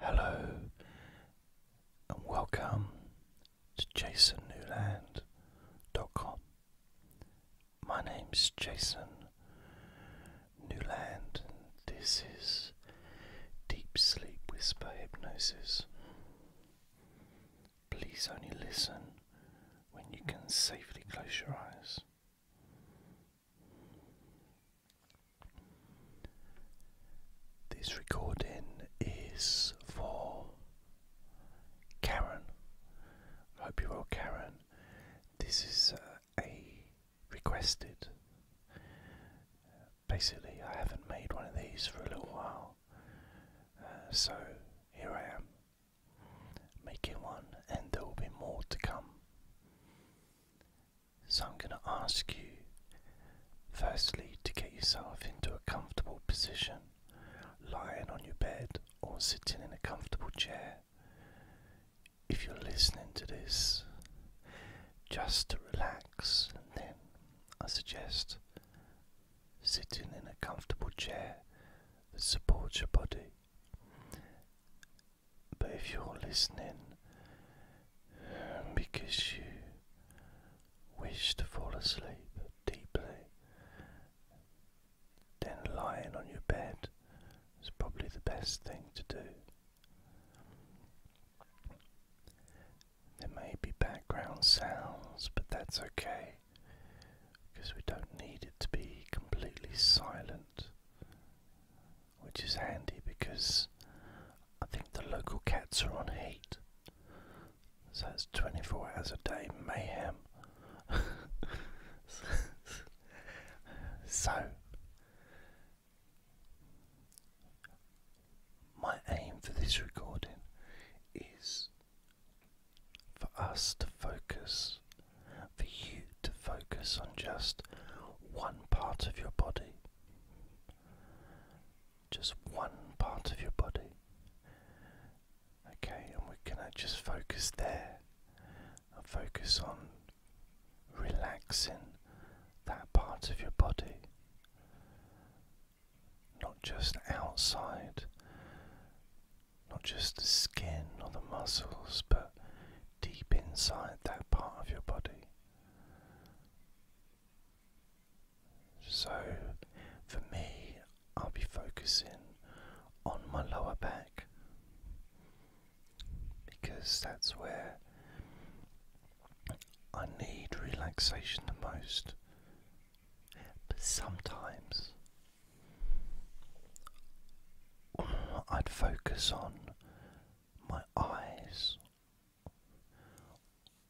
Hello and welcome to jasonnewland.com. My name's Jason Newland, and this is Deep Sleep Whisper Hypnosis. Please only listen when you can safely close your eyes. This recording is for Karen. I hope you're well, Karen. This is uh, a requested. basically, I haven't made one of these for a little while, uh, so here I am making one, and there will be more to come. So, I'm going to ask you firstly to get yourself into a comfortable position, lying on your bed or sitting in a comfortable chair. If you're listening to this, just to relax, and then I suggest sitting in a comfortable chair that supports your body but if you're listening um, because you wish to fall asleep deeply, then lying on your bed is probably the best thing to do. There may be background sounds, but that's okay because we don't need it to be completely silent which is handy because I think the local cats are on heat, so it's 24 hours a day mayhem. so, my aim for this recording is for us to focus, for you to focus on just one part of your body. Just one part of your body. Okay, and we're going to just focus there focus on relaxing that part of your body. Not just outside, not just the skin or the muscles, but deep inside that part of your body. So, for me, I'll be focusing on my lower back because that's where I need relaxation the most. But sometimes I'd focus on my eyes,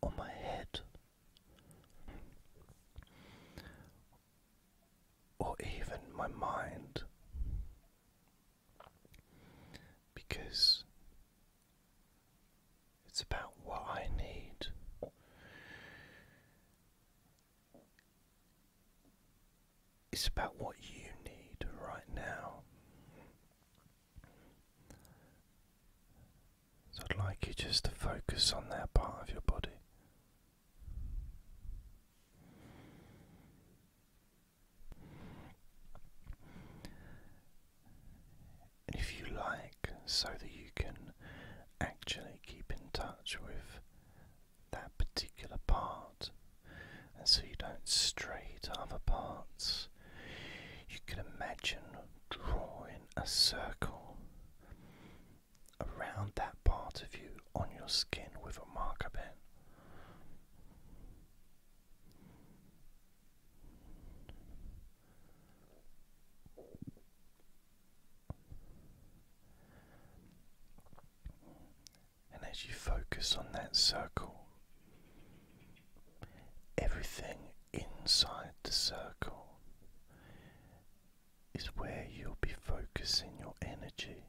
on my head, or even my mind, because it's about what I need. It's about what you need right now. So I'd like you just to focus on that part of your body. And if you like, so that you can actually keep in touch with that particular part and so you don't stray to other parts. You can imagine drawing a circle around that part of you on your skin with a marker pen. And as you focus on that circle, everything inside the circle is where you'll be focusing your energy.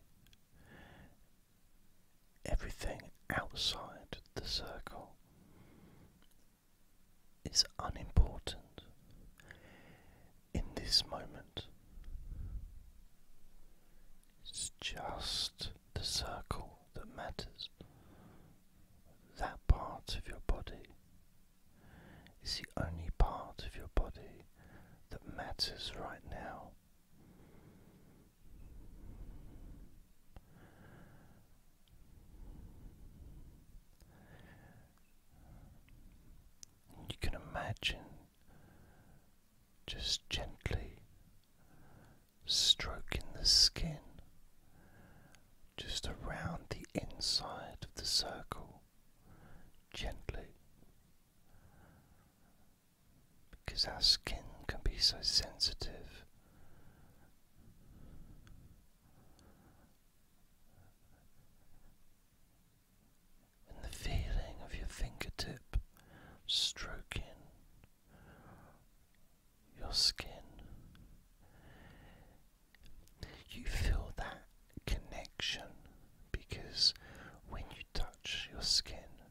Everything outside the circle is unimportant in this moment. It's just the circle that matters. That part of your body is the only part of your body that matters right now. You can imagine just gently stroking the skin just around the inside of the circle, gently. Because our skin can be so sensitive, and the feeling of your fingertip stroking your skin. You feel that connection because when you touch your skin,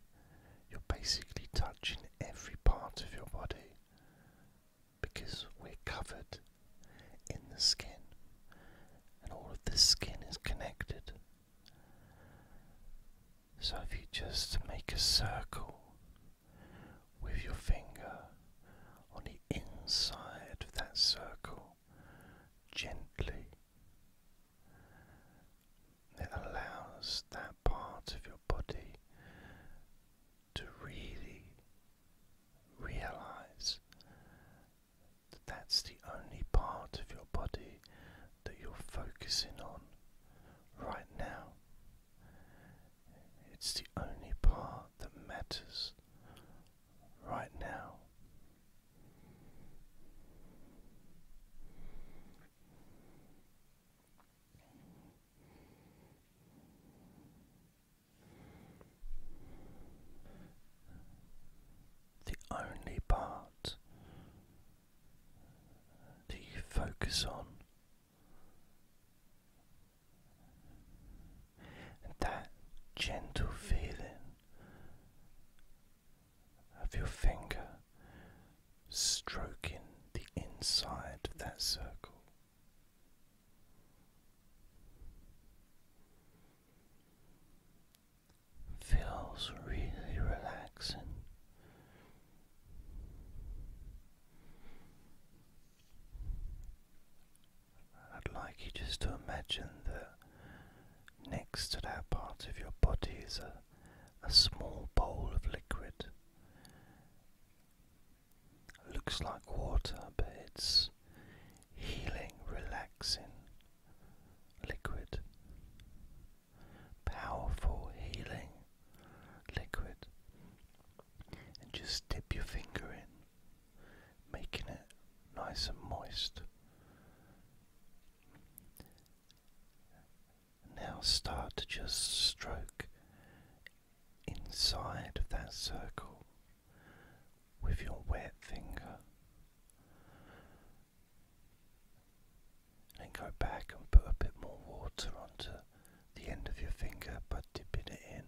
you're basically touching every part of your body because we're covered in the skin and all of the skin is connected. So, if you just make a circle with your finger on the inside of that circle gently, it allows that part of your body to really realize that's the only part of your body that you're focusing on right now. It's the only part that matters right now the only part that you focus on. that gentle feeling of your finger stroking the inside of that circle feels really relaxing. I'd like you just to imagine that next to that part of your body is a, a small bowl of liquid. looks like water, but it's healing, relaxing, liquid, powerful healing liquid, and just dip your finger in, making it nice and moist. Now start to just stroke inside of that circle with your wet finger. And go back and put a bit more water onto the end of your finger by dipping it in.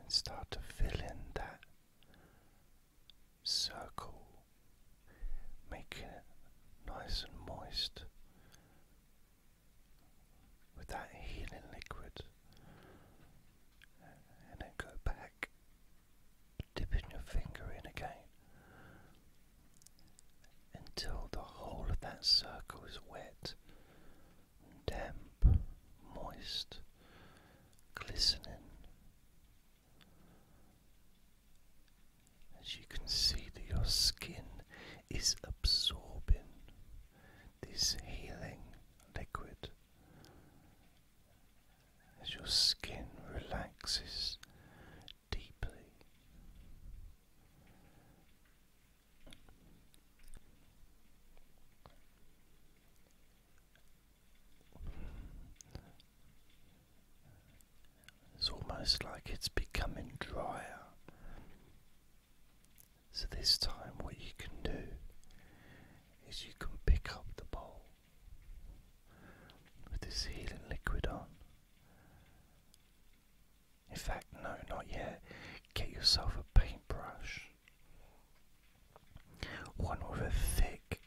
And start to fill in that circle, making it nice and moist with that healing liquid. And then go back dipping your finger in again until the whole of that circle is wet, damp, moist, glistening. As you can see, that your skin is absorbing this healing liquid as your skin relaxes deeply. It's almost like it's becoming drier. So, this time, what you can do is you can pick up the bowl with this healing liquid on. In fact, no, not yet. Get yourself a paintbrush. One with a thick,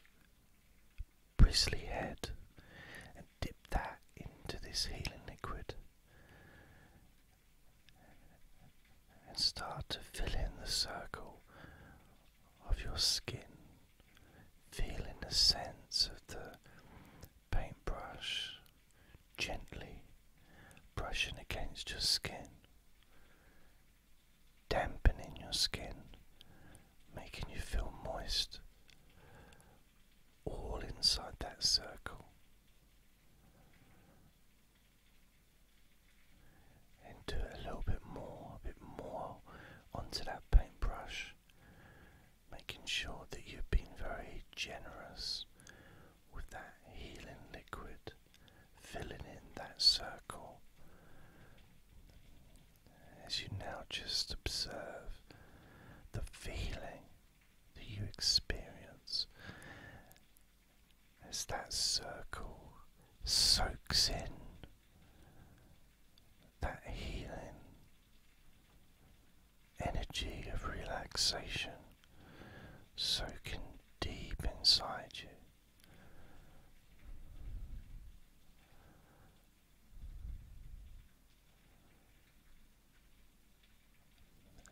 bristly head, and dip that into this healing liquid and start to fill in the circle of your skin, feeling the sense of the paintbrush gently brushing against your skin, dampening your skin, making you feel moist, all inside that circle and do a little bit more, a bit more onto that paintbrush, making sure that you've been very generous with that healing liquid, filling in that circle. As you now just observe the feeling that you experience as that circle soaks in that healing energy of relaxation soaking deep inside you.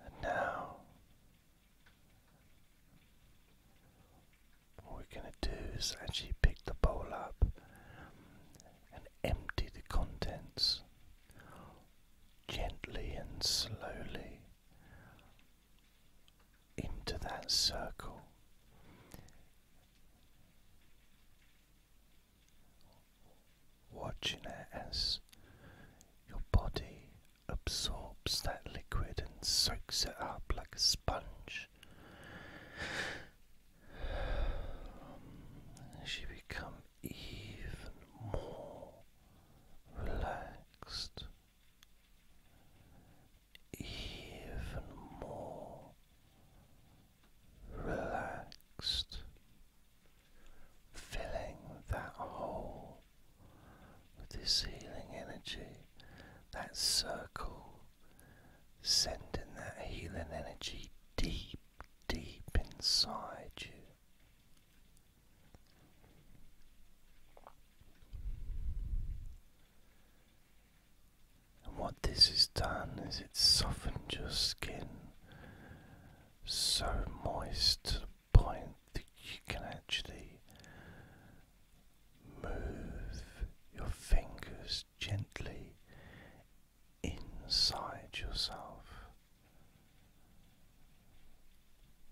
And now what we're going to do is actually pick the bowl up and empty the contents gently and slowly into that circle. Watching it as your body absorbs that liquid and soaks it up like a sponge. As you even more relaxed, even more relaxed, filling that whole with this healing energy, that circle, sending that healing energy deep, deep inside you. what this has done is it's softened your skin so moist point that you can actually move your fingers gently inside yourself.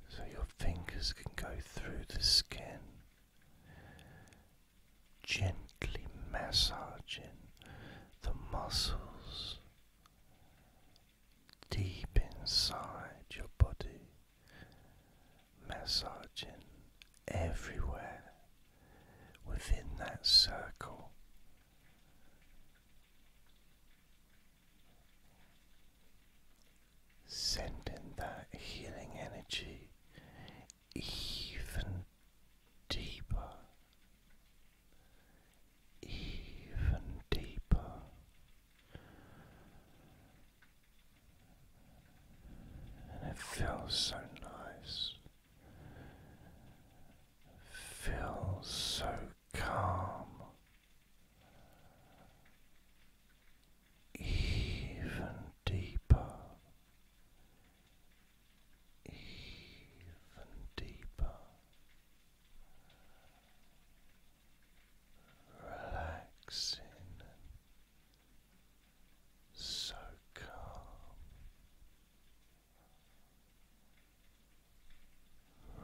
So your fingers can go through the skin, gently massaging the muscles deep inside your body massaging everywhere within that circle. Sending that healing energy even deeper, even deeper. And it feels so nice. It feels so calm. Even deeper, even deeper, relaxing so calm.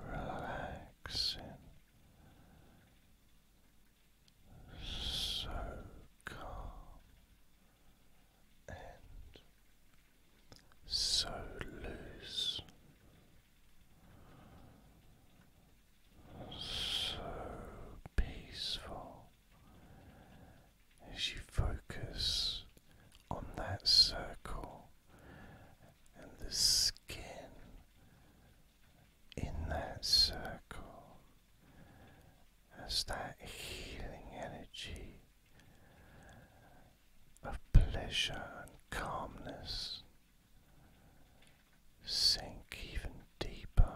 Relaxing, so calm and so loose so peaceful as you focus on that circle and the skin in that circle as that healing energy of pleasure and calmness sink even deeper.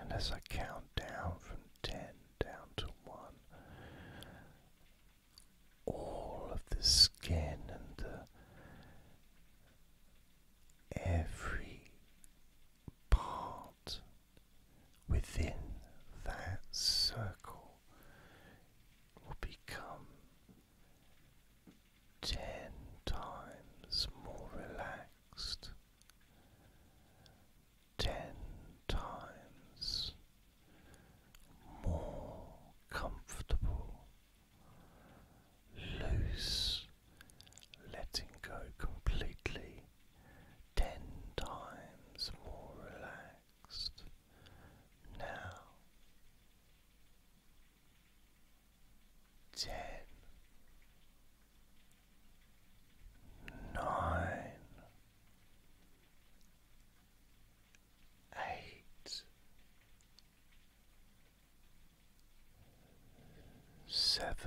And as I count down from 10 down to 1, all of the skin and every part within that circle will become ten times more relaxed, ten times more comfortable, loose, letting go completely. Ten times more relaxed relaxed now. Ten, nine, eight, seven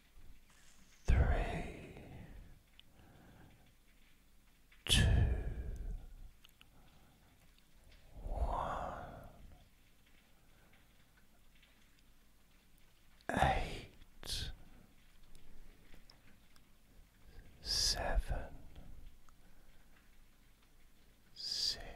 three, two, one, eight, seven, six.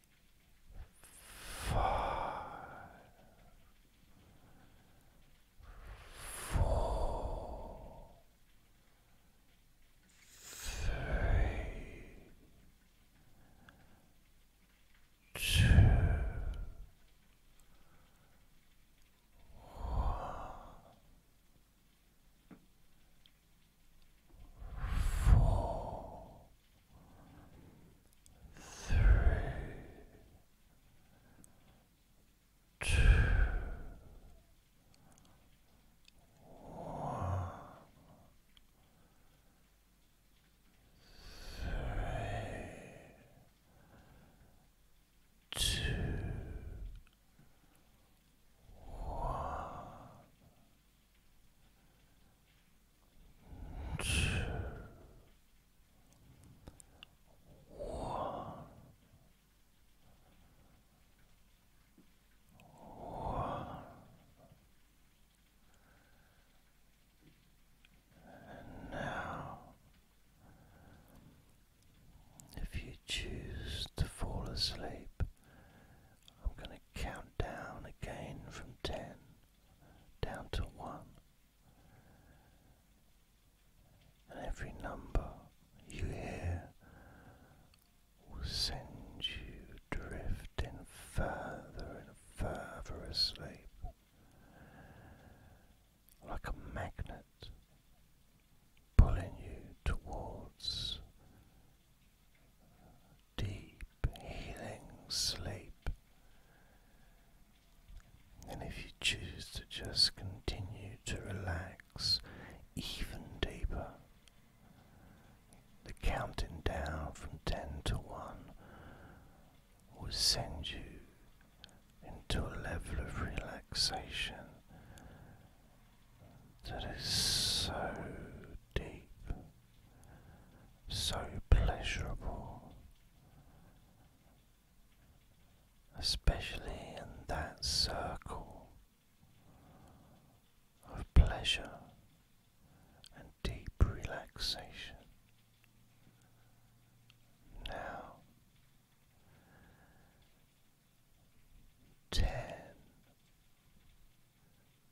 five, four, three, two, one, four. Three, two, one, three, two, one. Two, one, one, and now, if you choose to fall asleep, I'm going to count down again from ten down to one. And every number you hear will send you drifting further and further asleep, like a magnet pulling you towards deep healing sleep. And if you choose to just continue to relax even deeper, the counting down from 10 to 1 will send you into a level of relaxation that is so deep so pleasurable, especially in that circle of pleasure and deep relaxation. Now, ten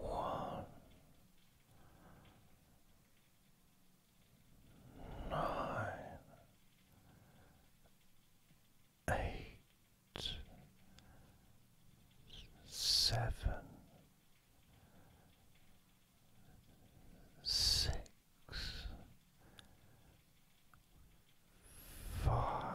one nine eight seven six Five,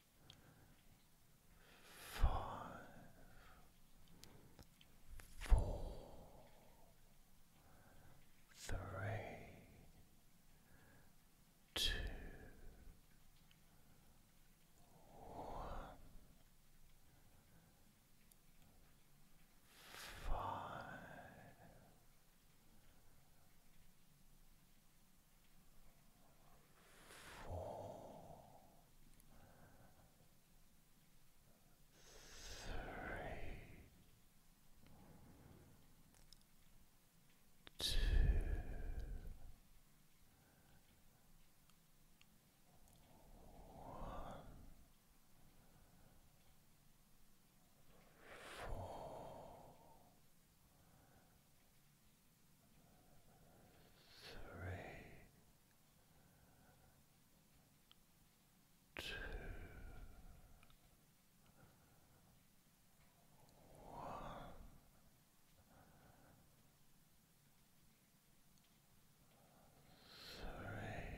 five, four, three, two, one, five two, one, four three, two, one. Three,